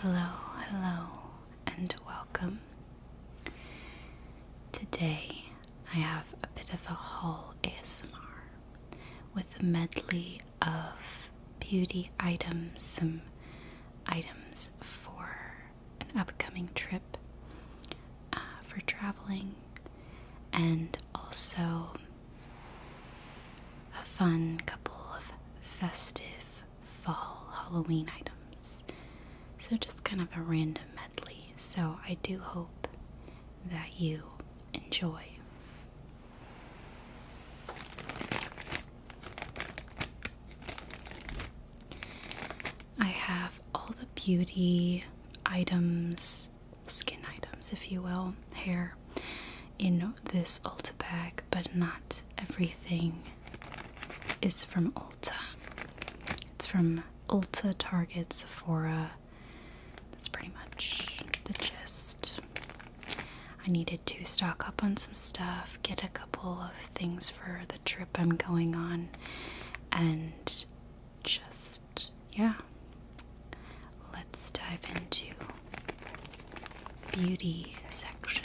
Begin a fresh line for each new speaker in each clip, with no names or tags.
Hello, hello, and welcome. Today I have a bit of a haul ASMR with a medley of beauty items, some items for an upcoming trip, uh, for traveling, and also a fun couple of festive fall Halloween items. So, just kind of a random medley. So, I do hope that you enjoy. I have all the beauty items skin items, if you will, hair in this Ulta bag, but not everything is from Ulta. It's from Ulta, Target, Sephora. That's pretty much the gist. I needed to stock up on some stuff, get a couple of things for the trip I'm going on, and just yeah. Let's dive into beauty section.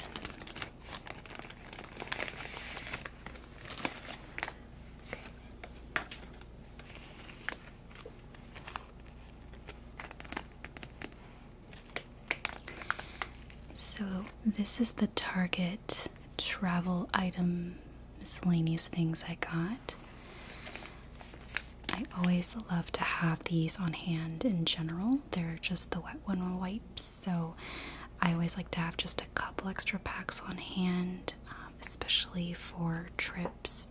So, this is the Target travel item miscellaneous things I got. I always love to have these on hand in general. They're just the wet one wipes, so I always like to have just a couple extra packs on hand, um, especially for trips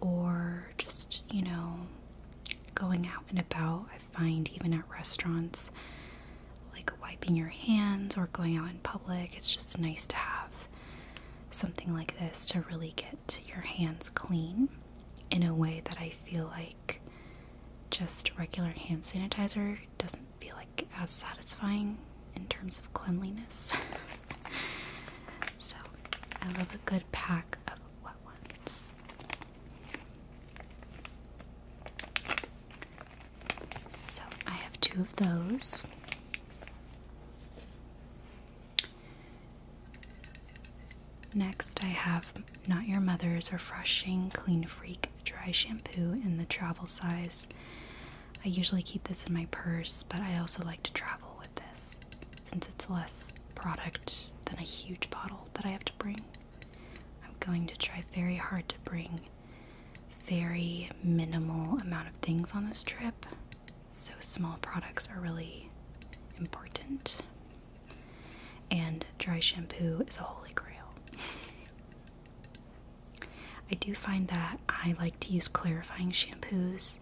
or just, you know, going out and about. I find even at restaurants, like wiping your hands or going out in public, it's just nice to have something like this to really get your hands clean in a way that I feel like just regular hand sanitizer doesn't feel like as satisfying in terms of cleanliness. so I love a good pack of wet ones. So I have two of those. Next, I have Not Your Mother's Refreshing Clean Freak Dry Shampoo in the travel size. I usually keep this in my purse, but I also like to travel with this since it's less product than a huge bottle that I have to bring. I'm going to try very hard to bring very minimal amount of things on this trip so small products are really important. And dry shampoo is a holy grail. I do find that I like to use clarifying shampoos.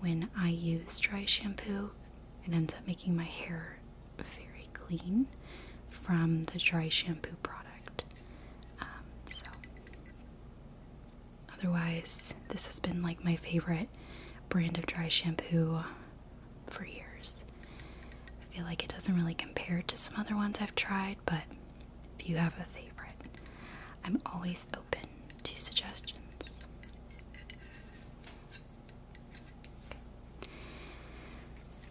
When I use dry shampoo, it ends up making my hair very clean from the dry shampoo product. Um, so Otherwise, this has been like my favorite brand of dry shampoo for years. I feel like it doesn't really compare to some other ones I've tried, but if you have a favorite, I'm always open to suggestions.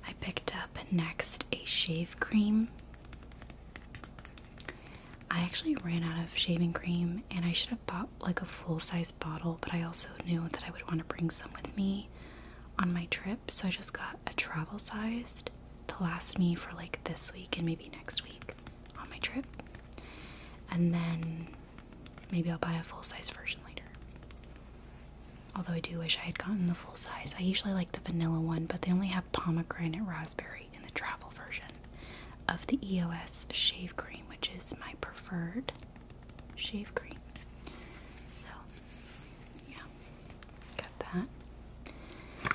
I picked up next a shave cream. I actually ran out of shaving cream and I should have bought like a full size bottle, but I also knew that I would want to bring some with me on my trip, so I just got a travel sized to last me for like this week and maybe next week on my trip. And then maybe I'll buy a full size version later. Although I do wish I had gotten the full size. I usually like the vanilla one, but they only have pomegranate raspberry in the travel version of the EOS shave cream, which is my preferred shave cream. So, yeah, got that.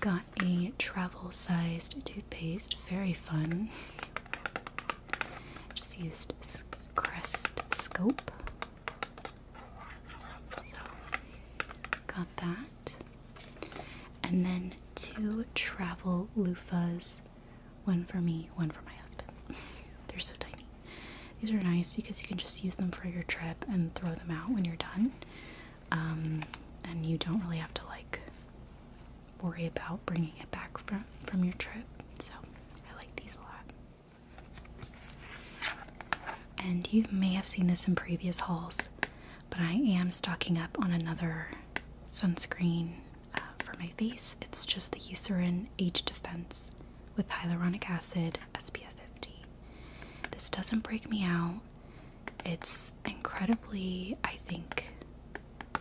Got a travel sized toothpaste, very fun. Just used Crest Scope. So, got that. And then two travel loofahs one for me, one for my husband. They're so tiny. These are nice because you can just use them for your trip and throw them out when you're done. Um, and you don't really have to like worry about bringing it back from, from your trip. So I like these a lot. And you may have seen this in previous halls but I am stocking up on another sunscreen uh, for my face. It's just the Eucerin Age Defense with hyaluronic acid SPF 50. This doesn't break me out. It's incredibly, I think,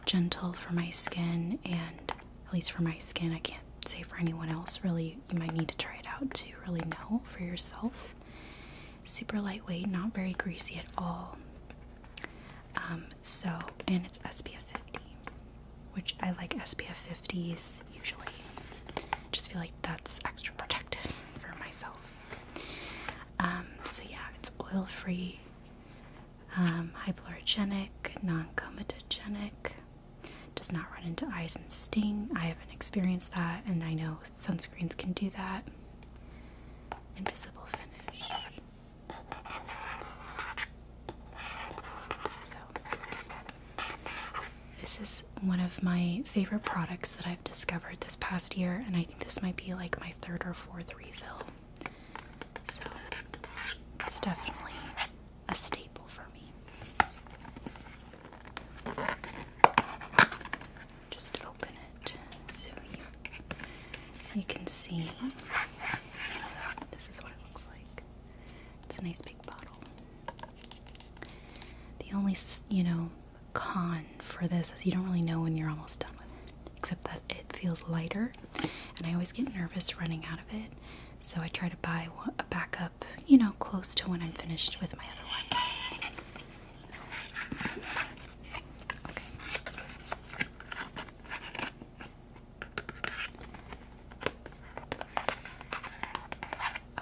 gentle for my skin, and at least for my skin, I can't say for anyone else really. You might need to try it out to really know for yourself super lightweight, not very greasy at all. Um, so, and it's SPF 50, which I like SPF 50s usually. Just feel like that's extra protective for myself. Um, so yeah, it's oil-free, um, hypoallergenic, non-comatogenic. Does not run into eyes and sting. I haven't experienced that, and I know sunscreens can do that invisible finish. So, this is one of my favorite products that I've discovered this past year, and I think this might be like my third or fourth refill. So, it's definitely a staple for me just open it so you so you can see. This is what it looks like. It's a nice big bottle. The only you know con for this is you don't really know when you're almost done with it, except that it feels lighter, and I always get nervous running out of it. So I try to buy a backup, you know, close to when I'm finished with my other one.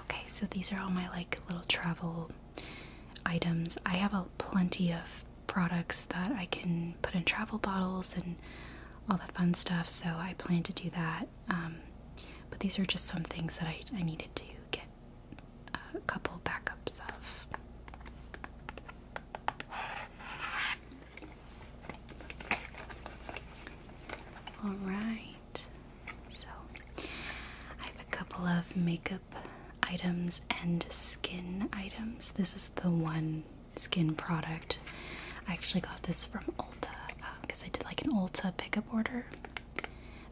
Okay, so these are all my like little travel items. I have a plenty of products that I can put in travel bottles and all the fun stuff, so I plan to do that. Um, but these are just some things that I needed to get a couple backups of. All right, so I have a couple of makeup items and skin items. This is the one skin product. I actually got this from Ulta because uh, I did like an Ulta pickup order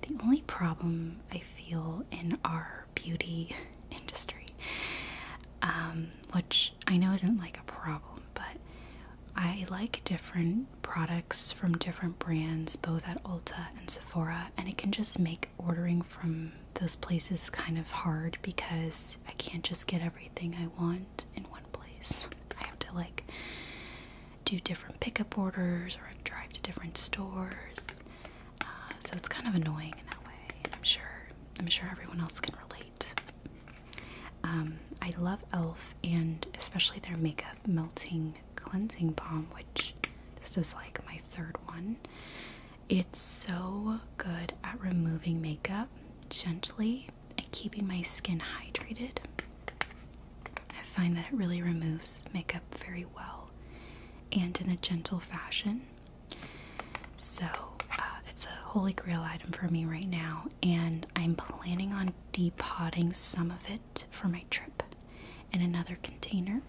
the only problem I feel in our beauty industry, um, which I know isn't like a problem, but I like different products from different brands, both at Ulta and Sephora, and it can just make ordering from those places kind of hard because I can't just get everything I want in one place. I have to like do different pickup orders or drive to different stores. Uh, so it's kind of annoying in that way, and I'm sure I'm sure everyone else can relate. Um, I love Elf and especially their makeup melting cleansing balm, which this is like my third one. It's so good at removing makeup gently and keeping my skin hydrated. I find that it really removes makeup very well and in a gentle fashion. So uh, it's a holy grail item for me right now, and I'm planning on depotting some of it for my trip in another container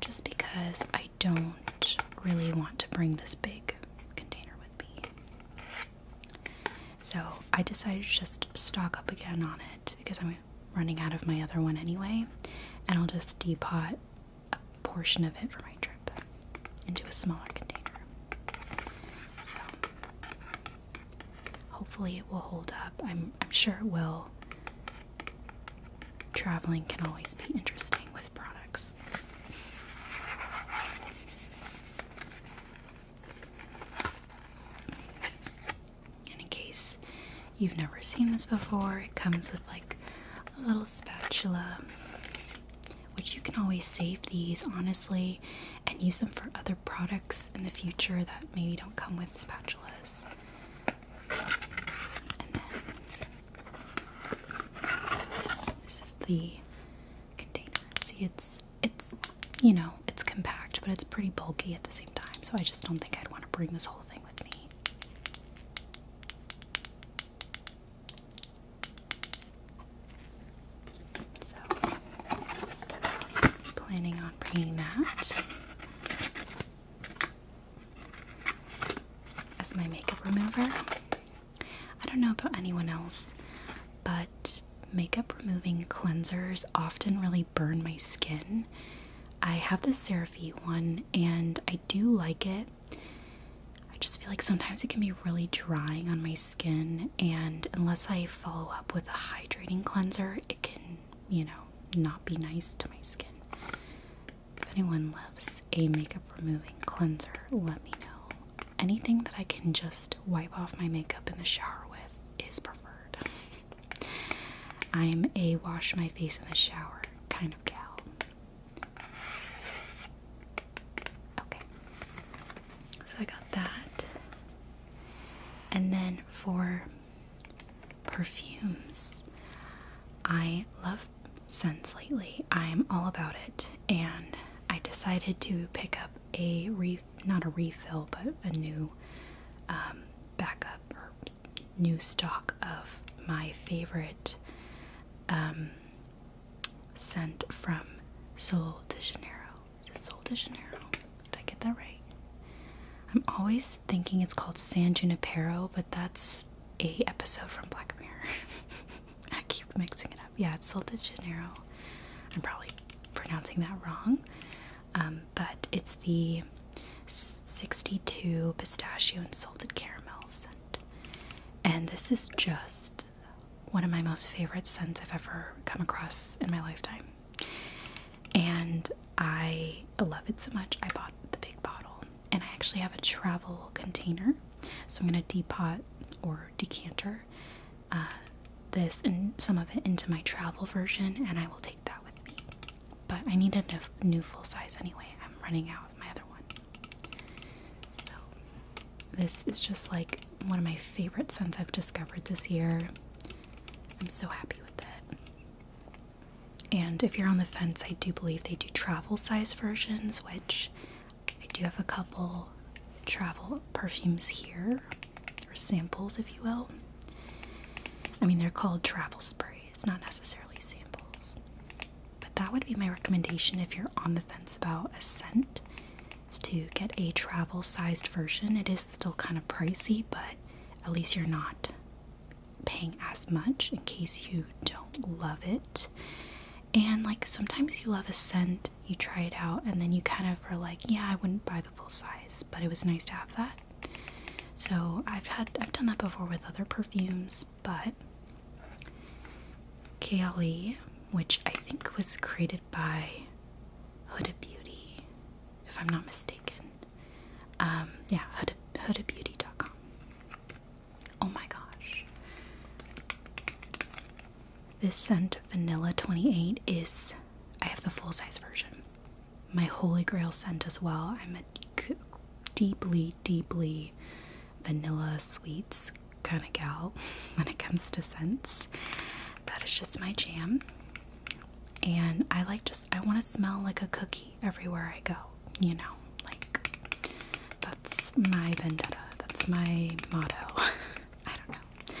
just because I don't really want to bring this big container with me. So I decided to just stock up again on it because I'm running out of my other one anyway, and I'll just depot a portion of it for my trip into a smaller container. So hopefully it will hold up. I'm I'm sure it will. Traveling can always be interesting with products in case you've never seen this before, it comes with like a little spatula, which you can always save these honestly and use them for other products in the future that maybe don't come with spatulas. this is the container. See, it's it's you know, it's compact, but it's pretty bulky at the same time. So I just don't think I'd want to bring this whole thing with me planning on bringing that as my makeup remover. I don't know about anyone else, but makeup removing cleansers often really burn my skin. I have the Seraphie one and I do like it. I just feel like sometimes it can be really drying on my skin, and unless I follow up with a hydrating cleanser, it can, you know, not be nice to my skin. If anyone loves a makeup removing cleanser, let me know. Anything that I can just wipe off my makeup in the shower with is preferred. I'm a wash my face in the shower kind of gal. Okay. So I got that. And then for perfumes, I love scents lately. I'm all about it and I decided to pick up a re not a refill but a new um, backup new stock of my favorite um, scent from Sol de Janeiro. Is it Sol de Janeiro? Did I get that right? I'm always thinking it's called San Junipero, but that's a episode from Black Mirror. I keep mixing it up. Yeah, it's Sol de Janeiro. I'm probably pronouncing that wrong. Um, but it's the 62 pistachio and salted caramel scent. And this is just one of my most favorite scents I've ever come across in my lifetime. And I love it so much, I bought the big bottle. And I actually have a travel container. So I'm going to depot or decanter uh, this and some of it into my travel version, and I will take that with me but I need a new full size anyway. I'm running out of my other one. So, this is just like one of my favorite scents I've discovered this year. I'm so happy with it. And if you're on the fence, I do believe they do travel size versions, which I do have a couple travel perfumes here, or samples, if you will. I mean, they're called travel sprays. It's not necessarily samples. But that would be my recommendation if you're on the fence about a scent, is to get a travel-sized version. It is still kind of pricey, but at least you're not paying as much in case you don't love it. And like sometimes you love a scent, you try it out, and then you kind of are like, yeah, I wouldn't buy the full size, but it was nice to have that. So I've had I've done that before with other perfumes, but KLE, which I think was created by Huda Beauty, if I'm not mistaken. Um, yeah, Huda, HudaBeauty.com. Oh my gosh. This scent, Vanilla 28, is. I have the full size version my holy grail scent as well. I'm a deeply, deeply vanilla sweets kind of gal when it comes to scents. That is just my jam. And I like just, I want to smell like a cookie everywhere I go, you know, like that's my vendetta, that's my motto. I don't know.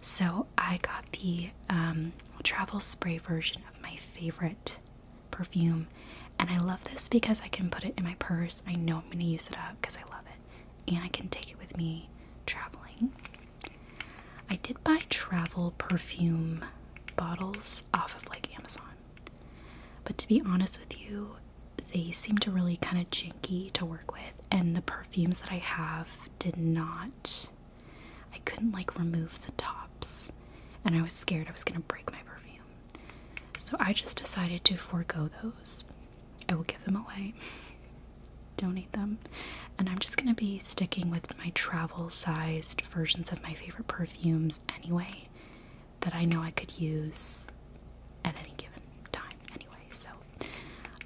So I got the um, travel spray version of my favorite perfume, and I love this because I can put it in my purse. I know I'm going to use it up because I love it, and I can take it with me traveling. I did buy travel perfume bottles off of like Amazon, but to be honest with you, they seem to really kind of janky to work with, and the perfumes that I have did not I couldn't like remove the tops, and I was scared I was gonna break my perfume. So I just decided to forego those. I will give them away, donate them, and I'm just gonna be sticking with my travel sized versions of my favorite perfumes anyway that I know I could use at any given time, anyway. So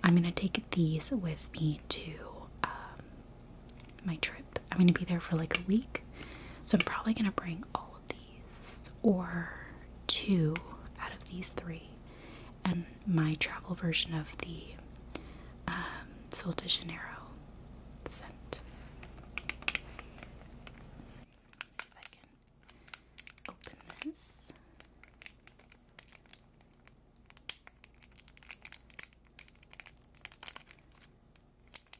I'm gonna take these with me to um, my trip. I'm going to be there for like a week. So I'm probably going to bring all of these or two out of these three and my travel version of the um, Sol scent. see if I can open this. Okay.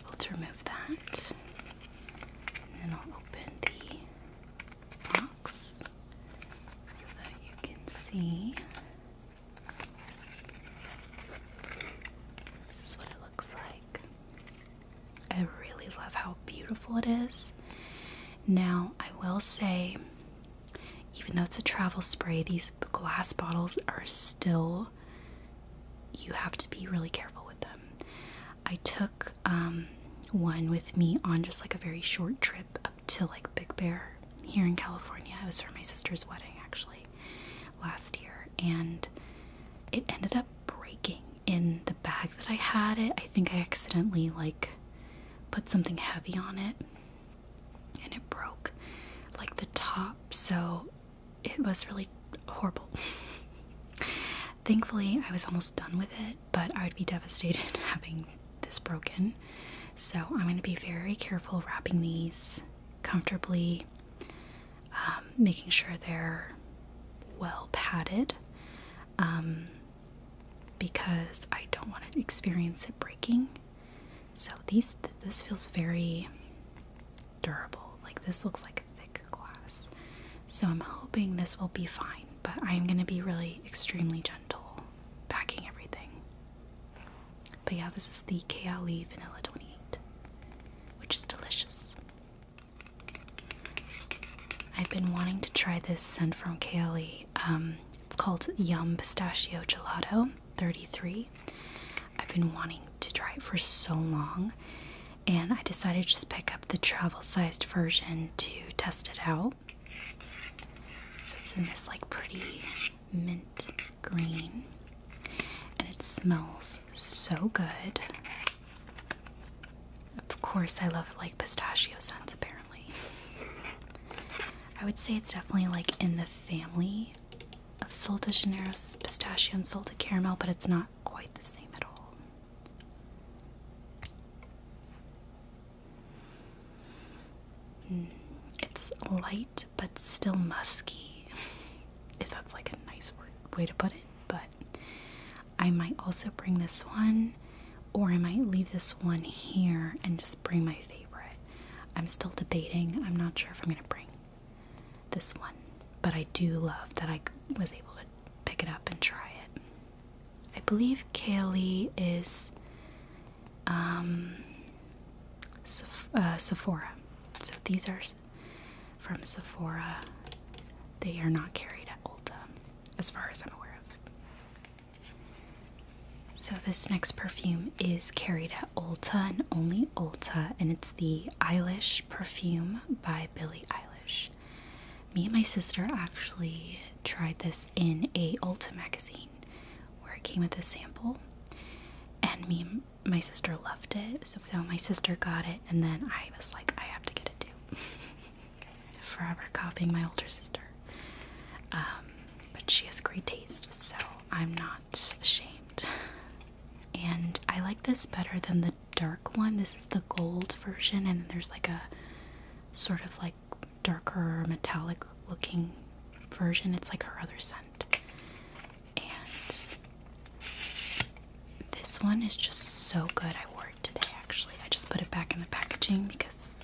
I was remove that, and then I'll open the box so that you can see. This is what it looks like. I really love how beautiful it is. Now, I will say, even though it's a travel spray, these glass bottles are still, you have to be really careful with them. I took um, one with me on just like a very short trip up to like Big Bear here in California. It was for my sister's wedding actually last year, and it ended up breaking in the bag that I had it. I think I accidentally like put something heavy on it and it broke like the top, so it was really horrible. Thankfully, I was almost done with it but I would be devastated having this broken. So I'm going to be very careful wrapping these comfortably, um, making sure they're well padded um, because I don't want to experience it breaking. So these this feels very durable. Like this looks like a thick week class. So I'm hoping this will be fine, but I'm going to be really extremely gentle packing everything. But yeah, this is the Kaoli Vanilla 28, which is delicious. I've been wanting to try this scent from Kaoli. Um, it's called Yum Pistachio Gelato 33. I've been wanting to try it for so long, and I decided to just pick up the travel sized version to test it out. it's in this like pretty mint green, and it smells so good. Of course, I love like pistachio scents, apparently. I would say it's definitely like in the family of Sol de Janeiro's pistachio and Sol Caramel, but it's not quite the same at all it's light but still musky, if that's like a nice word, way to put it. But I might also bring this one, or I might leave this one here and just bring my favorite. I'm still debating, I'm not sure if I'm gonna bring this one, but I do love that I was able to pick it up and try it. I believe Kaylee is um, Sephora. So these are from Sephora. They are not carried at Ulta, as far as I'm aware of. So this next perfume is carried at Ulta and only Ulta, and it's the Eilish perfume by Billie Eilish. Me and my sister actually tried this in a Ulta magazine where it came with a sample and me my sister loved it so, my sister got it and then I was like I have to get it too. Forever copying my older sister. Um, but she has great taste so I'm not ashamed. And I like this better than the dark one. This is the gold version, and there's like a sort of like darker metallic looking version. It's like her other scent. And this one is just so good. I wore it today actually. I just put it back in the packaging because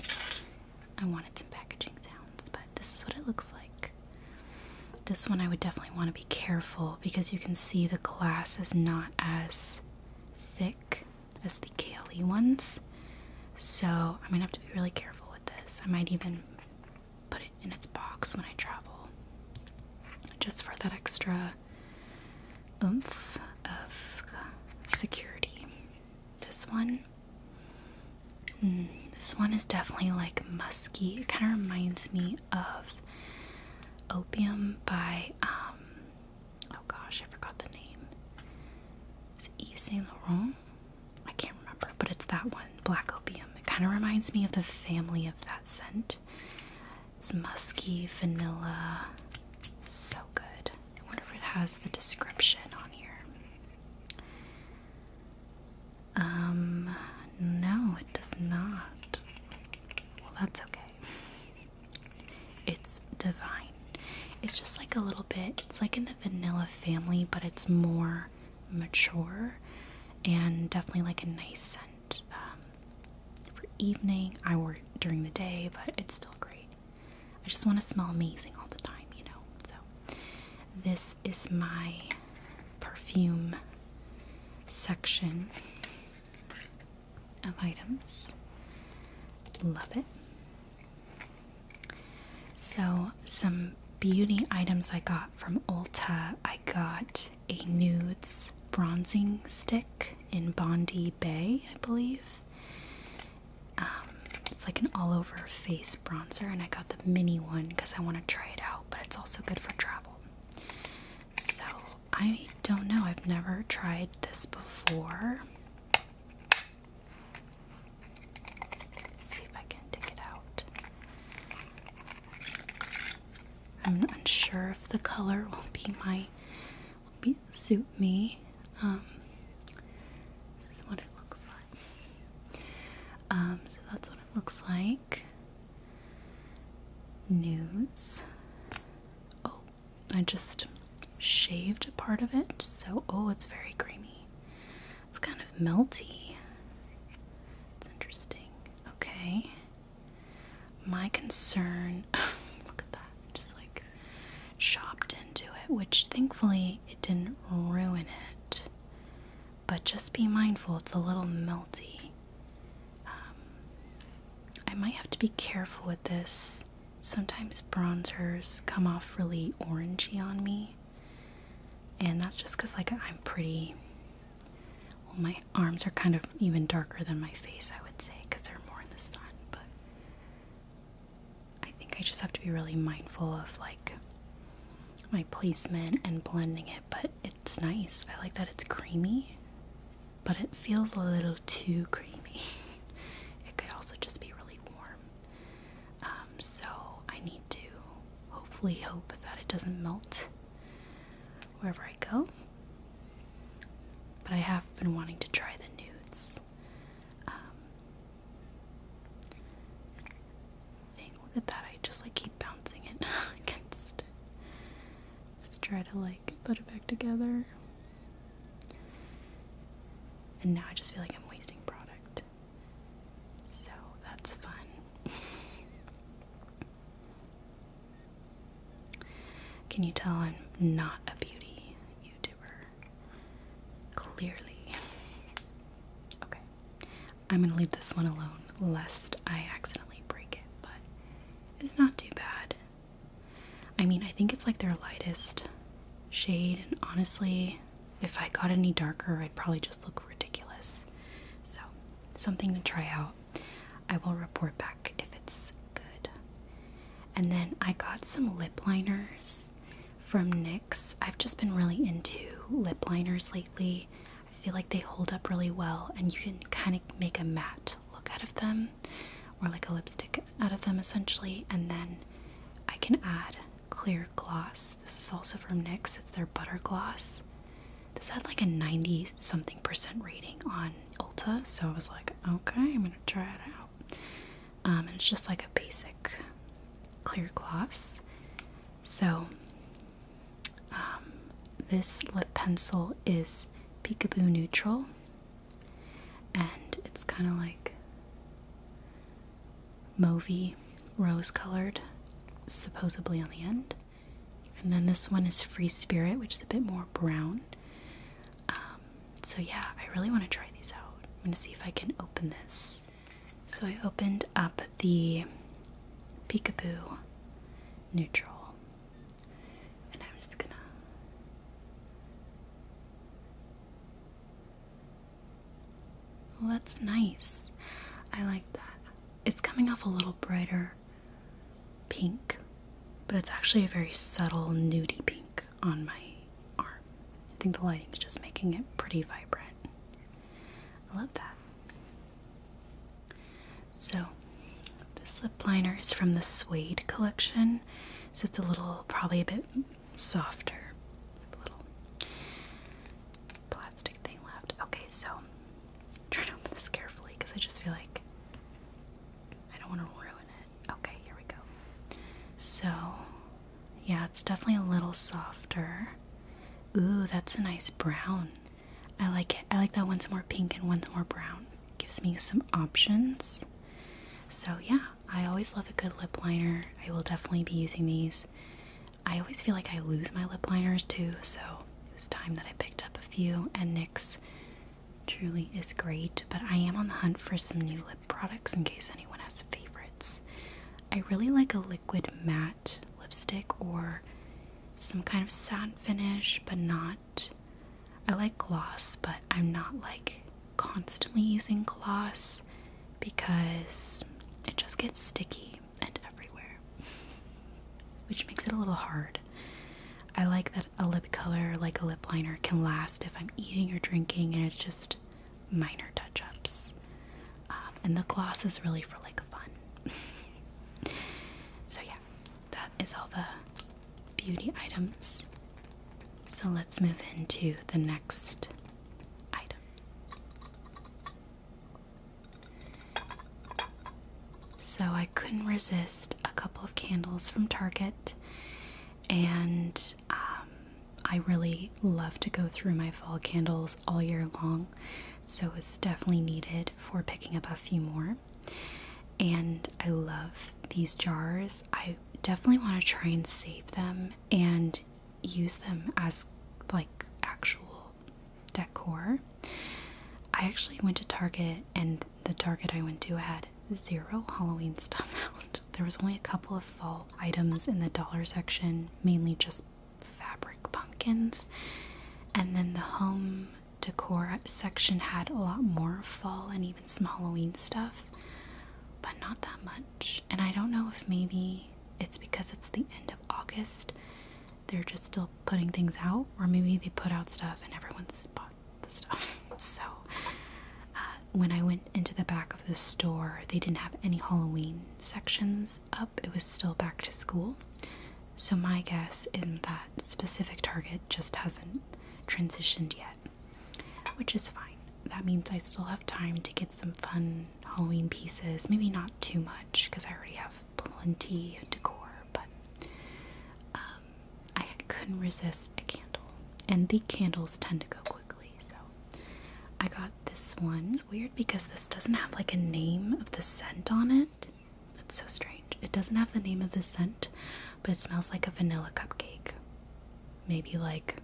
I wanted some packaging sounds, but this is what it looks like. This one I would definitely want to be careful because you can see the glass is not as thick as the KLE ones. So I'm gonna have to be really careful with this. I might even put it in its box when I travel, just for that extra oomph of security. This one, mm, this one is definitely like musky. It kind of reminds me of Opium by um, Oh gosh, I forgot the name. Is it Yves Saint Laurent? I can't remember, but it's that one, Black Opium. It kind of reminds me of the family of that scent. It's musky, vanilla, so good. I wonder if it has the description on here. Um, no, it does not. Well, that's okay. It's divine. It's just like a little bit, it's like in the vanilla family, but it's more mature and definitely like a nice scent. Um, for evening, I work during the day, but it's still great. I just want to smell amazing all the time, you know. So, this is my perfume section of items. Love it. So, some beauty items I got from Ulta I got a nudes bronzing stick in Bondi Bay, I believe. Um, it's like an all over face bronzer, and I got the mini one because I want to try it out, but it's also good for travel. So I don't know. I've never tried this before. see if I can dig it out. I'm unsure if the color will be my will be suit me. Um, this is what it looks like. Um, so that's what it looks like. News. Oh, I just shaved a part of it, so oh, it's very creamy. It's kind of melty. It's interesting. Okay. My concern look at that. Just like chopped into it, which thankfully it didn't ruin it. But just be mindful, it's a little melty. Um, I might have to be careful with this sometimes bronzers come off really orangey on me. And that's just because, like, I'm pretty. Well, my arms are kind of even darker than my face, I would say, because they're more in the sun. But I think I just have to be really mindful of, like, my placement and blending it. But it's nice. I like that it's creamy but it feels a little too creamy. it could also just be really warm. Um, so I need to hopefully hope that it doesn't melt wherever I go. But I have been wanting to try the nudes. Um, look at that. I just like keep bouncing it against it. Just try to like like put it back together. And now I just feel like I'm wasting product. So that's fun. Can you tell I'm not a beauty YouTuber? Clearly. okay. I'm gonna leave this one alone lest I accidentally break it, but it's not too bad. I mean, I think it's like their lightest shade, and honestly, if I got any darker, I'd probably just look ridiculous. So, something to try out. I will report back if it's good. And then I got some lip liners from NYX. I've just been really into lip liners lately. I feel like they hold up really well, and you can kind of make a matte look out of them or like a lipstick out of them essentially and then I can add clear gloss. This is also from NYX. It's their butter gloss. This had like a 90 something percent rating on Ulta, so I was like, okay, I'm gonna try it out. Um, and it's just like a basic clear gloss. So, um, this lip pencil is Peekaboo Neutral and it's kind of like mauvey, rose colored, supposedly on the end. And then this one is Free Spirit, which is a bit more brown. Um, so, yeah, I really want to try these out. I'm going to see if I can open this. So, I opened up the Peekaboo Neutral and I'm just gonna well that's nice I like that it's coming off a little brighter pink but it's actually a very subtle nudie pink on my arm I think the lighting is just making it pretty vibrant I love that so this lip liner is from the Suede collection so it's a little probably a bit softer. A little plastic thing left. Okay, so I'm trying to open this carefully because I just feel like I don't want to ruin it. Okay, here we go. So yeah, it's definitely a little softer. Ooh, that's a nice brown. I like it. I like that one's more pink and one's more brown gives me some options. So, yeah, I always love a good lip liner. I will definitely be using these. I always feel like I lose my lip liners too, so it was time that I picked up a few, and NYX truly is great. But I am on the hunt for some new lip products in case anyone has favorites. I really like a liquid matte lipstick or some kind of satin finish, but not I like gloss, but I'm not like constantly using gloss because it just gets sticky and everywhere, which makes it a little hard. I like that a lip color like a lip liner can last if I'm eating or drinking and it's just minor touch ups. Um, and the gloss is really for like fun. so, yeah, that is all the beauty items. So let's move into the next item. So I couldn't resist a couple of candles from Target, and um, I really love to go through my fall candles all year long, so it's definitely needed for picking up a few more. And I love these jars. I definitely want to try and save them and use them as like actual decor. I actually went to Target and the Target I went to had zero Halloween stuff out. There was only a couple of fall items in the dollar section, mainly just fabric pumpkins. And then the home decor section had a lot more fall and even some Halloween stuff but not that much. And I don't know if maybe it's because it's the end of August, they're just still putting things out, or maybe they put out stuff and everyone's bought the stuff. so uh, when I went into the back of the store, they didn't have any Halloween sections up, it was still back to school. So my guess is that specific Target just hasn't transitioned yet which is fine. That means I still have time to get some fun Halloween pieces. Maybe not too much because I already have plenty of decor, but um, I couldn't resist a candle, and the candles tend to go quickly. So I got this one. It's weird because this doesn't have like a name of the scent on it. That's so strange. It doesn't have the name of the scent, but it smells like a vanilla cupcake maybe like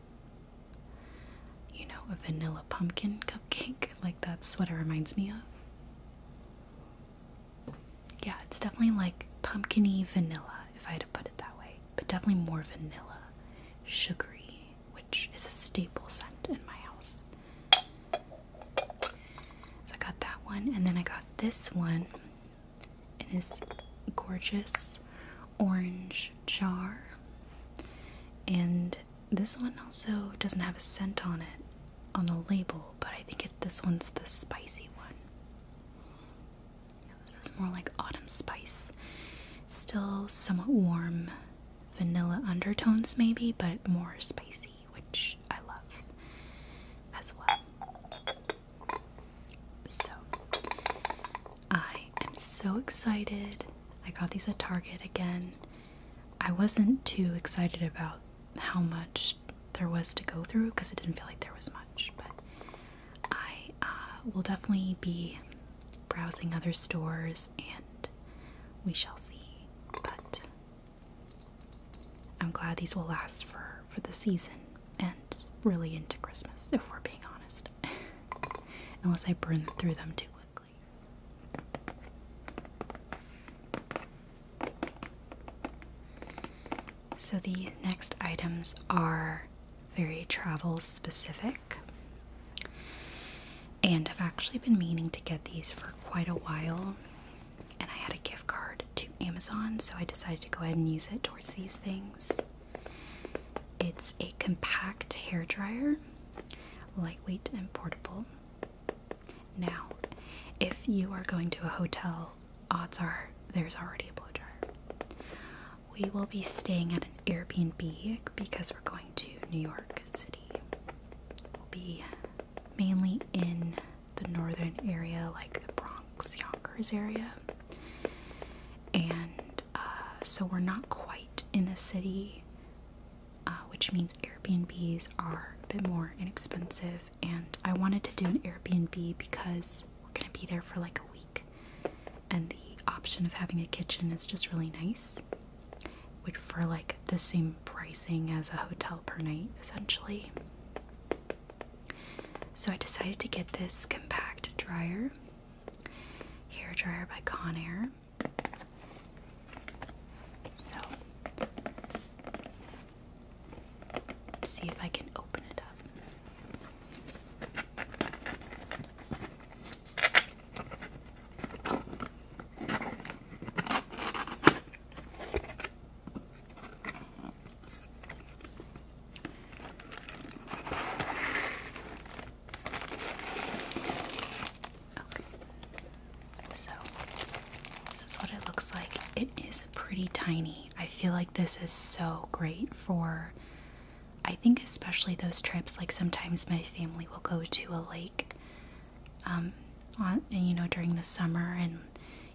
you know, a vanilla pumpkin cupcake, like that's what it reminds me of. Yeah, it's definitely like pumpkiny vanilla, if I had to put it that way, but definitely more vanilla, sugary, which is a staple scent in my house. So I got that one, and then I got this one in this gorgeous orange jar. And this one also doesn't have a scent on it on the label, but I think it, this one's the spicy one. this is more like autumn spice. Still somewhat warm vanilla undertones, maybe, but more spicy, which I love as well. So, I am so excited. I got these at Target again. I wasn't too excited about how much there was to go through because it didn't feel like there was much, but I uh, will definitely be browsing other stores and we shall see. But I'm glad these will last for for the season and really into Christmas, if we're being honest. Unless I burn through them too quickly. So the next items are very travel specific. And I've actually been meaning to get these for quite a while. And I had a gift card to Amazon, so I decided to go ahead and use it towards these things. It's a compact hair dryer, lightweight and portable. Now, if you are going to a hotel, odds are there's already a blow dryer. We will be staying at an Airbnb because we're going to New York City. We'll be mainly in the northern area, like the Bronx, Yonkers area and uh, so we're not quite in the city, uh, which means Airbnbs are a bit more inexpensive. And I wanted to do an Airbnb because we're gonna be there for like a week, and the option of having a kitchen is just really nice, which for like the same pricing as a hotel per night, essentially. So I decided to get this compact dryer, hair dryer by Conair. So see if I can open it up. So, this is what it looks like. It is pretty tiny. I feel like this is so great for, I think, especially those trips. Like, sometimes my family will go to a lake, um, on, you know, during the summer, and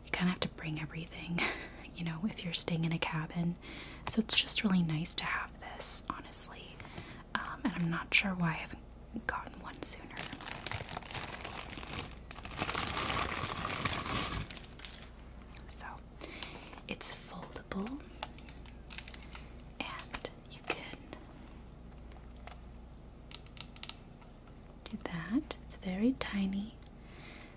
you kind of have to bring everything, you know, if you're staying in a cabin. So it's just really nice to have this, honestly. Um, and I'm not sure why I haven't gotten one sooner. So it's foldable, and you can do that. It's very tiny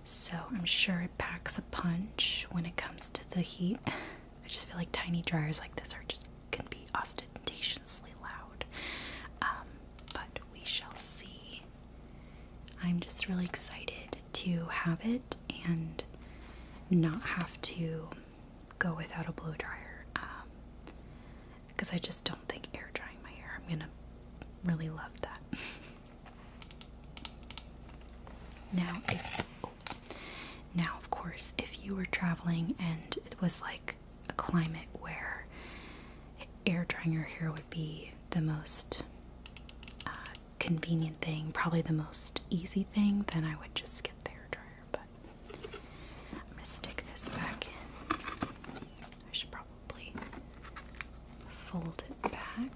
so I'm sure it packs a punch when it comes to the heat. I just feel like tiny dryers like this are just gonna be ostentatiously loud. Um, but we shall see. I'm just really excited to have it and not have to go without a blow dryer because um, I just don't think air drying my hair. I'm gonna really love that. Now, now of course, if you were traveling and it was like a climate where air drying your hair would be the most uh, convenient thing, probably the most easy thing, then I would just get the hair dryer. But I'm gonna stick this back in. I should probably fold it back.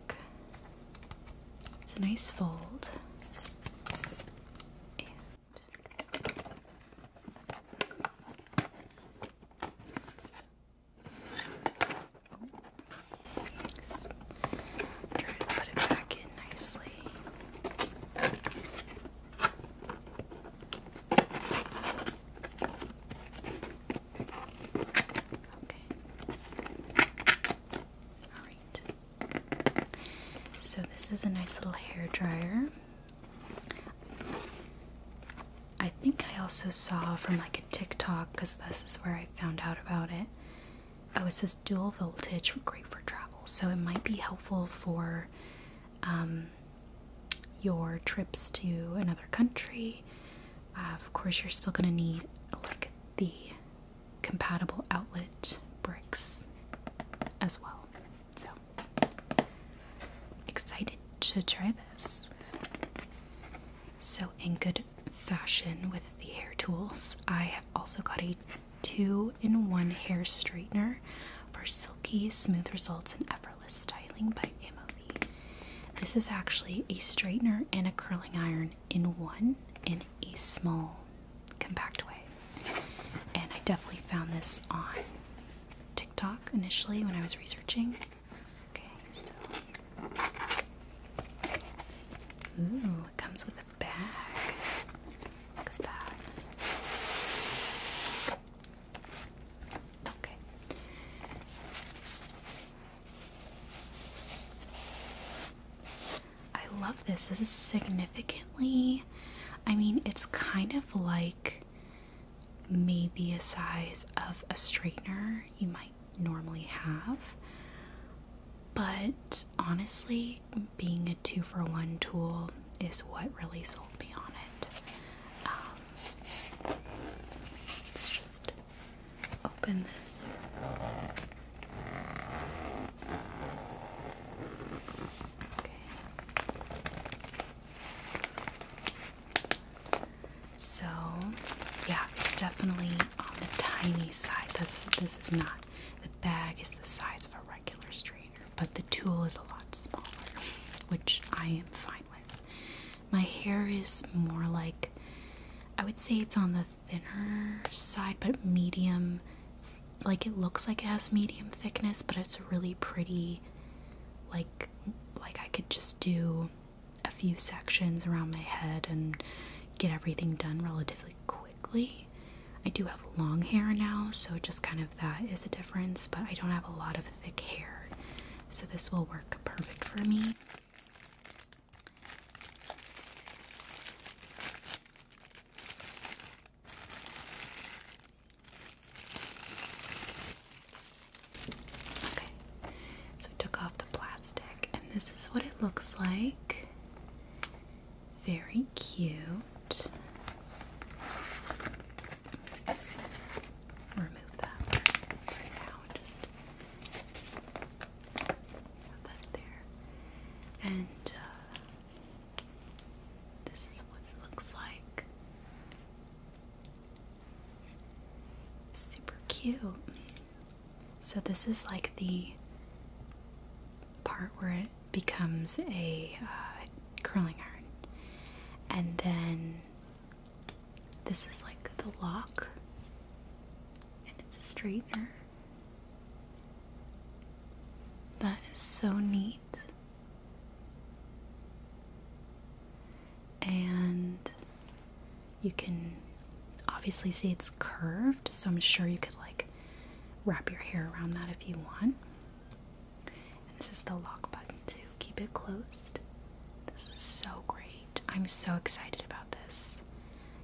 It's a nice fold. Try to put it back in nicely. Okay. Alright. So this is a nice little hair dryer. I think I also saw from like a TikTok because this is where I found out about it. Oh, it says dual voltage, great for travel. So it might be helpful for um, your trips to another country uh, of course, you're still going to need like the compatible outlet bricks as well. So excited to try this. So, in good fashion with the hair tools, I have also got a two in one hair straightener for silky, smooth results and effortless styling by MOV. This is actually a straightener and a curling iron in one in a small, compact way. And I definitely found this on TikTok initially when I was researching. Okay, so. Ooh, it comes with a bag. Look at that. Okay. I love this. This is significantly, I mean, it's kind of like maybe a size of a straightener you might normally have. But honestly, being a two for one tool is what really sold me on it. Um, it's just open this. Okay. So, yeah, it's definitely on the tiny side. That's, this is not. The bag is the size of a regular strainer, but the tool is a lot smaller, which I am fine with. My hair is more like, I would say it's on the thinner side, but medium. Like it looks like it has medium thickness, but it's really pretty. Like, like I could just do a few sections around my head and get everything done relatively quickly. I do have long hair now, so just kind of that is a difference, but I don't have a lot of thick hair, so this will work perfect for me. Okay, so took off the plastic, and this is what it looks like. Very cute. Remove that now. Just there. And uh, this is what it looks like. Super cute. So this is like the part where it becomes a uh, curling iron, and then this is like the lock and it's a straightener. That is so neat. And you can obviously see it's curved, so I'm sure you could like wrap your hair around that if you want. And this is the lock button to keep it closed. This is so great. I'm so excited about this.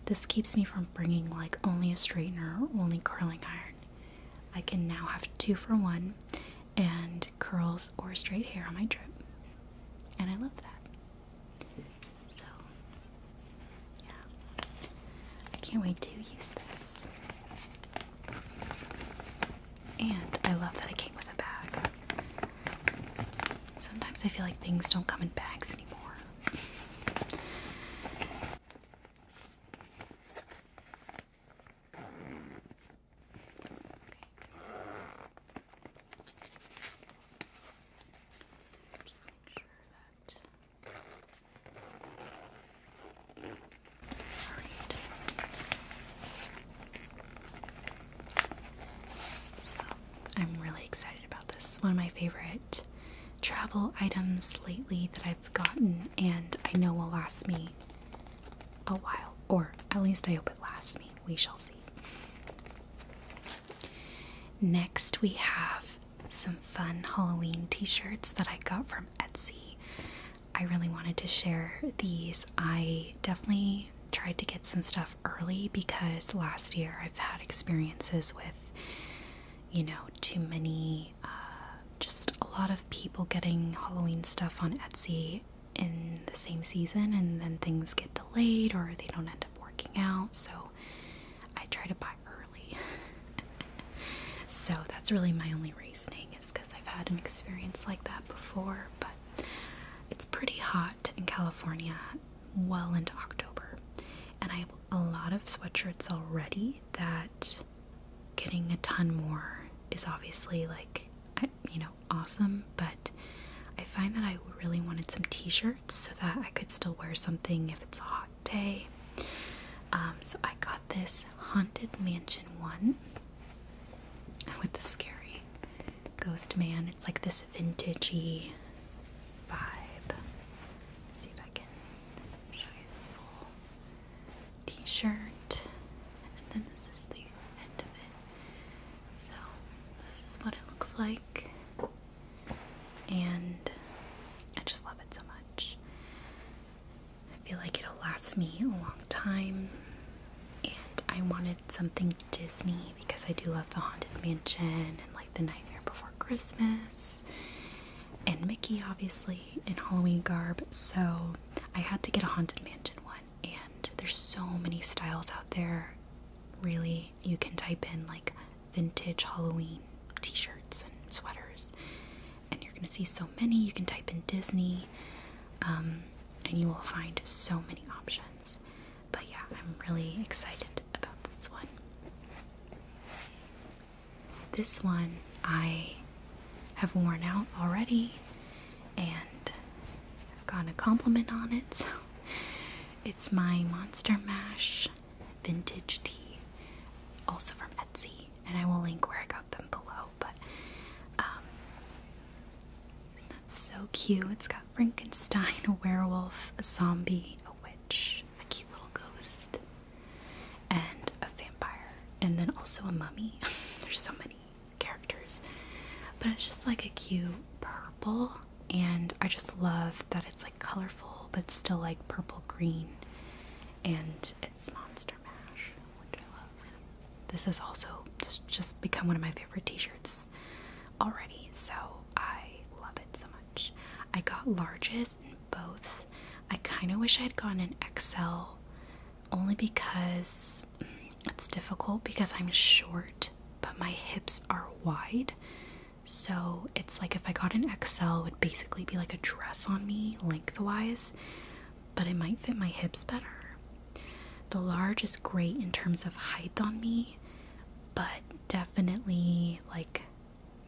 This keeps me from bringing like only a straightener only curling iron. I can now have two for one and curls or straight hair on my trip. And I love that. So, yeah. I can't wait to use this. And I love that it came with a bag. Sometimes I feel like things don't come in bags anymore. Okay. Just make sure that. So I'm really excited about this. one of my favorite travel items lately that I've gotten and I know will last me a while. Or at least I hope it lasts me. We shall see. Next, we have some fun Halloween t shirts that I got from Etsy. I really wanted to share these. I definitely tried to get some stuff early because last year I've had experiences with, you know, too many, uh, just a lot of people getting Halloween stuff on Etsy in the same season and then things get delayed or they don't end up working out. So I try to buy early. so that's really my only reasoning is because I've had an experience like that before, but it's pretty hot in California well into October. And I have a lot of sweatshirts already that getting a ton more is obviously like, you know, awesome. But I find that I really wanted some t shirts so that I could still wear something if it's a hot day. Um, so I got this Haunted Mansion one with the scary Ghost Man. It's like this vintagey vibe. T-shirt, and then this is the end of it. So this is what it looks like, and I just love it so much. I feel like it'll last me a long time, and I wanted something Disney because I do love the Haunted Mansion and like the Nightmare Before Christmas and Mickey, obviously, in Halloween garb. So I had to get a Haunted Mansion one, and there's so many styles out there. Really, you can type in like vintage Halloween t shirts and sweaters, and you're gonna see so many. You can type in Disney, um, and you will find so many options. But yeah, I'm really excited about this one. This one I have worn out already and I've gotten a compliment on it, so it's my Monster Mash vintage tee, also from Etsy, and I will link where I got them below, but um, that's so cute. It's Frankenstein, a werewolf, a zombie, a witch, a cute little ghost, and a vampire, and then also a mummy. There's so many characters, but it's just like a cute purple, and I just love that it's like colorful but still like purple green, and it's Monster Mash, which I love. This has also just become one of my favorite t shirts already, so I love it so much. I got larges in both. I kind of wish I had gotten an XL only because it's difficult because I'm short, but my hips are wide. So it's like if I got an XL, it would basically be like a dress on me lengthwise, but it might fit my hips better. The large is great in terms of height on me, but definitely like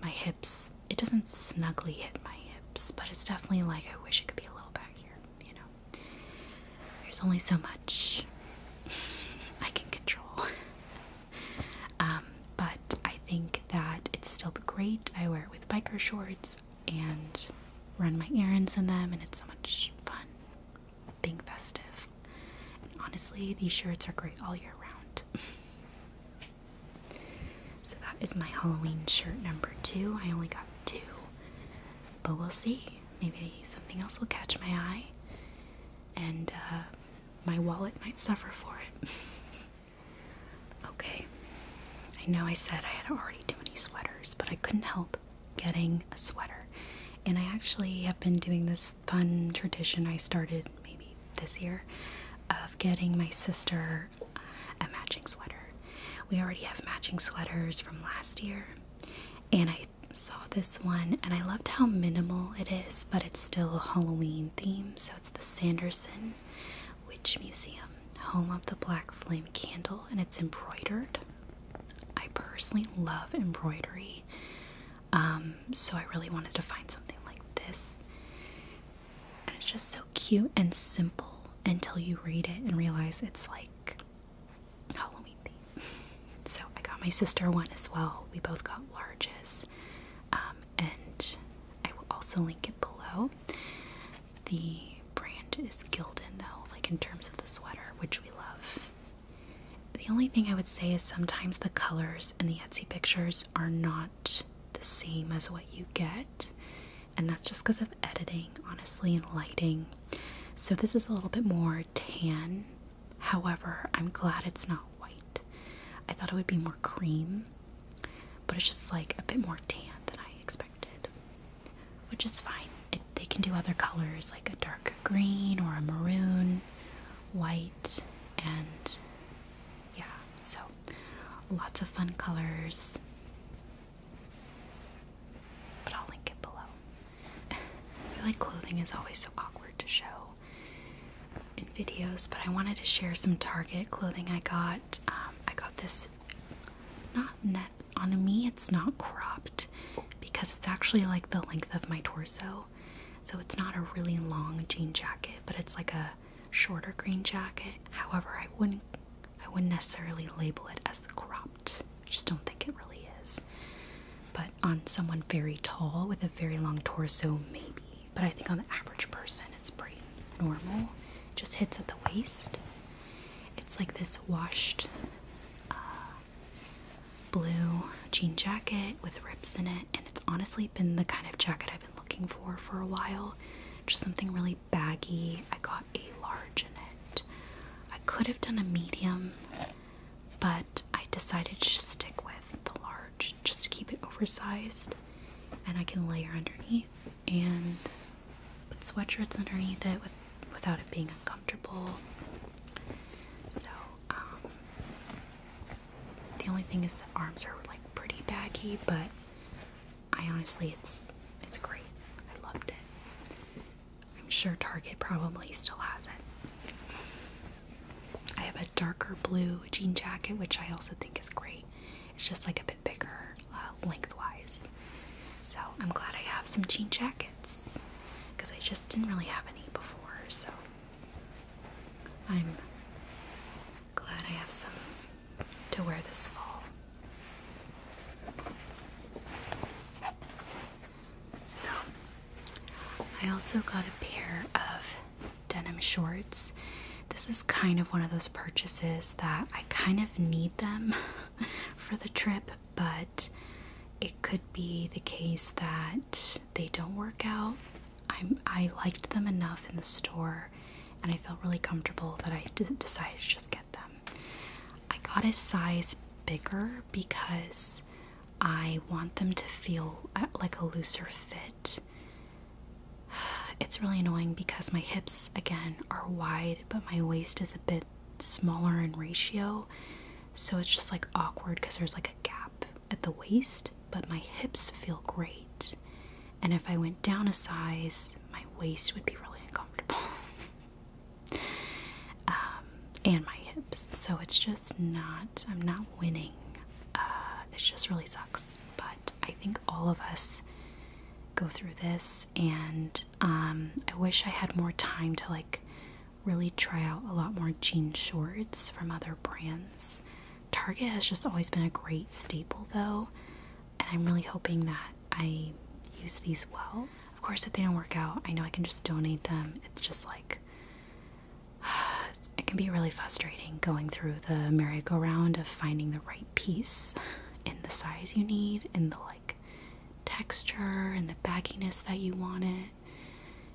my hips. It doesn't snugly hit my hips, but it's definitely like I wish it could be a little back here, you know. There's only so much I can control. Um, but I think that it's still great. I wear it with biker shorts and run my errands in them, and it's so much fun being festive. And honestly, these shirts are great all year round. so that is my Halloween shirt number two. I only got two, but we'll see. Maybe something else will catch my eye, and uh, my wallet might suffer for it. okay, I know I said I had already too many sweaters, but I couldn't help getting a sweater. And I actually have been doing this fun tradition I started maybe this year of getting my sister a matching sweater. We already have matching sweaters from last year, and I saw this one and I loved how minimal it is, but it's still a Halloween theme. So it's the Sanderson Witch Museum, home of the Black Flame candle, and it's embroidered. I personally love embroidery. Um, so I really wanted to find something like this. And it's just so cute and simple until you read it and realize it's like Halloween theme. so I got my sister one as well. We both got larges. Um, and I will also link it below. The brand is Gildan though, like in terms of the sweater, which we love. The only thing I would say is sometimes the colors in the Etsy pictures are not the same as what you get, and that's just because of editing, honestly, and lighting. So this is a little bit more tan. However, I'm glad it's not white. I thought it would be more cream, but it's just like a bit more tan than I expected, which is fine. they can do other colors like a dark green or a maroon, white and yeah, so lots of fun colors. But I'll link it below. I feel like clothing is always so awkward to show in videos, but I wanted to share some Target clothing I got. Um, I got this not net on me, it's not cropped because it's actually like the length of my torso. So it's not a really long jean jacket, but it's like a shorter green jacket. However, I wouldn't I wouldn't necessarily label it as cropped. I just don't think it really is. But on someone very tall with a very long torso, maybe. But I think on the average person, it's pretty normal. just hits at the waist. It's like this washed uh, blue jean jacket with rips in it, and it's honestly been the kind of jacket I've been looking for for a while. Just something really baggy. I got a large in it. I could have done a medium, but I decided to stick with the large just to keep it oversized and I can layer underneath and put sweatshirts underneath it without it being uncomfortable. So, um, the only thing is the arms are like pretty baggy, but I honestly it's it's great. I loved it. I'm sure Target probably still has it. I have a darker blue jean jacket, which I also think is great. It's just like a bit bigger uh, lengthwise. So I'm glad I have some jean jackets because I just didn't really have any before. So I'm glad I have some to wear this fall. So, I also got a pair of denim shorts. This is kind of one of those purchases that I kind of need them for the trip, but it could be the case that they don't work out. I liked them enough in the store and I felt really comfortable that I decided to just get them. I got a size bigger because I want them to feel uh, like a looser fit. It's really annoying because my hips, again, are wide, but my waist is a bit smaller in ratio so it's just like awkward because there's like a gap at the waist, but my hips feel great. And if I went down a size, my waist would be really uncomfortable. Um, and my hips. So it's just not, I'm not winning. Uh, it just really sucks. But I think all of us go through this, and um, I wish I had more time to like really try out a lot more jean shorts from other brands. Target has just always been a great staple though, and I'm really hoping that I use these well. Of course, if they don't work out, I know I can just donate them. It's just like it can be really frustrating going through the merry-go-round of finding the right piece in the size you need, in the like texture and the bagginess that you want it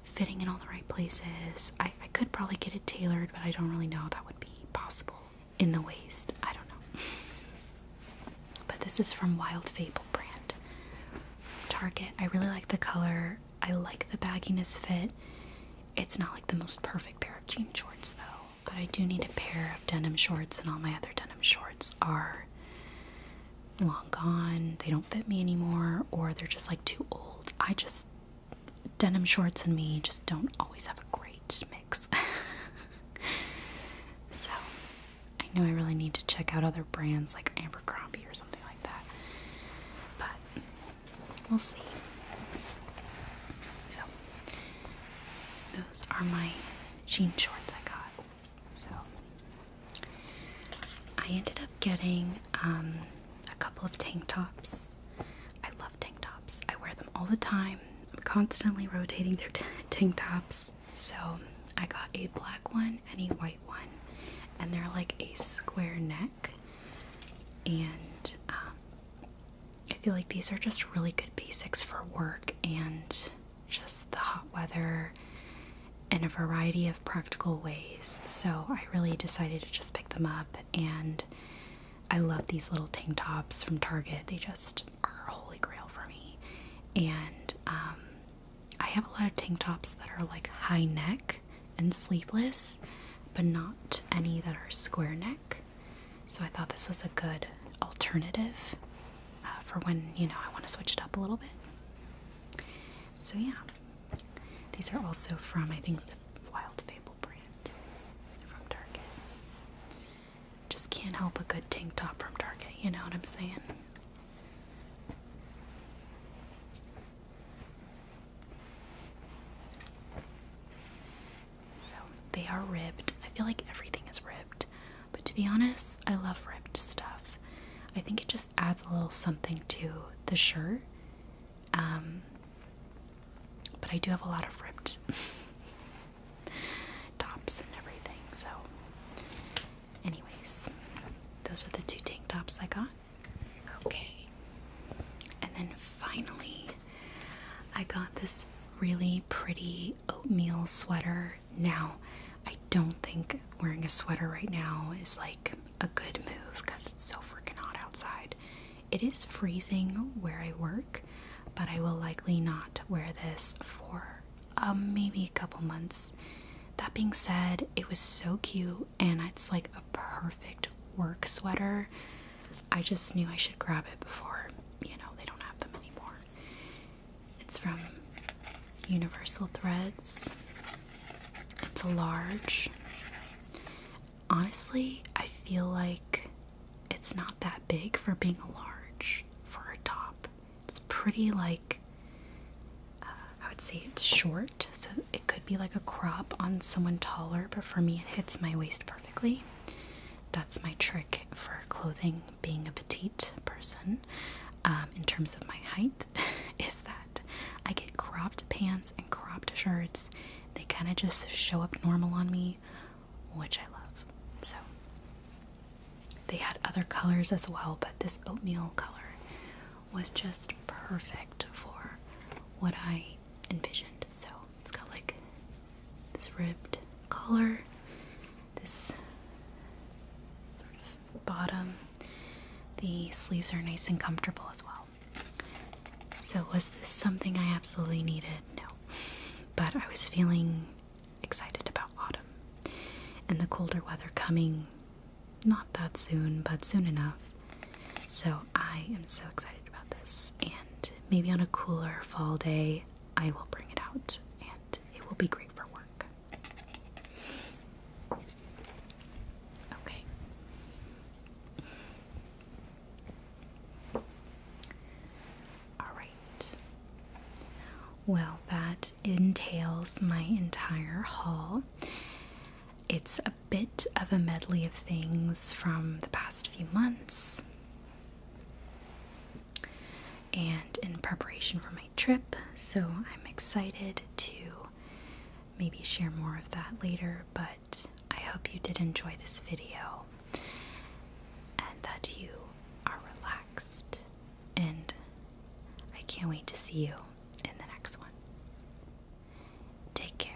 fitting in all the right places. I, could probably get it tailored, but I don't really know that would be possible in the waist. I don't know. but this is from Wild Fable brand. Target. I really like the color. I like the bagginess fit. It's not like the most perfect pair of jean shorts though, but I do need a pair of denim shorts and all my other denim shorts are long gone, they don't fit me anymore, or they're just like too old. I just, denim shorts and me just don't always have a great mix. so, I know I really need to check out other brands like Abercrombie or something like that. But, we'll see. So, those are my jean shorts I got. So, I ended up getting um, a couple of tank tops. I love tank tops. I wear them all the time. I'm constantly rotating through tank tops. So I got a black one and a white one, and they're like a square neck. And um, I feel like these are just really good basics for work and just the hot weather in a variety of practical ways. So I really decided to just pick them up and I love these little tank tops from Target. They just are holy grail for me. And um, I have a lot of tank tops that are like high neck and sleeveless, but not any that are square neck. So I thought this was a good alternative uh, for when, you know, I want to switch it up a little bit. So yeah, these are also from, I think, the Wild Fable brand from Target. Just can't help a good tank top from Target, you know what I'm saying? So they are ripped. I feel like everything is ripped, but to be honest, I love ripped stuff. I think it just adds a little something to the shirt um, but I do have a lot of ripped tops and everything. So, anyways, those are the two tank tops I got. Okay. And then finally, I got this really pretty oatmeal sweater. Now, I don't think wearing a sweater right now is like a good move because it's so freaking hot outside. It is freezing where I work, but I will likely not wear this for um, maybe a couple months. That being said, it was so cute and it's like a perfect work sweater. I just knew I should grab it before, you know, they don't have them anymore. It's from Universal Threads. It's a large. Honestly, I feel like it's not that big for being a large for a top. It's pretty like uh, I would say it's short, so it could be like a crop on someone taller, but for me, it hits my waist perfectly. That's my trick for clothing, being a petite person um, in terms of my height. is that I get cropped pants and cropped shirts. They kind of just show up normal on me, which I love. So they had other colors as well, but this oatmeal color was just perfect for what I envisioned. So it's got like this ribbed collar, this bottom. The sleeves are nice and comfortable as well. So, was this something I absolutely needed? No. But I was feeling excited about autumn and the colder weather coming not that soon, but soon enough. So, I am so excited about this. And maybe on a cooler fall day, I will bring it out and it will be great for work. Okay. All right. Well, that entails my entire haul. It's a bit of a medley of things from the past few months. And in preparation for my trip, so I'm excited to maybe share more of that later, but I hope you did enjoy this video and that you are relaxed. And I can't wait to see you in the next one. Take care.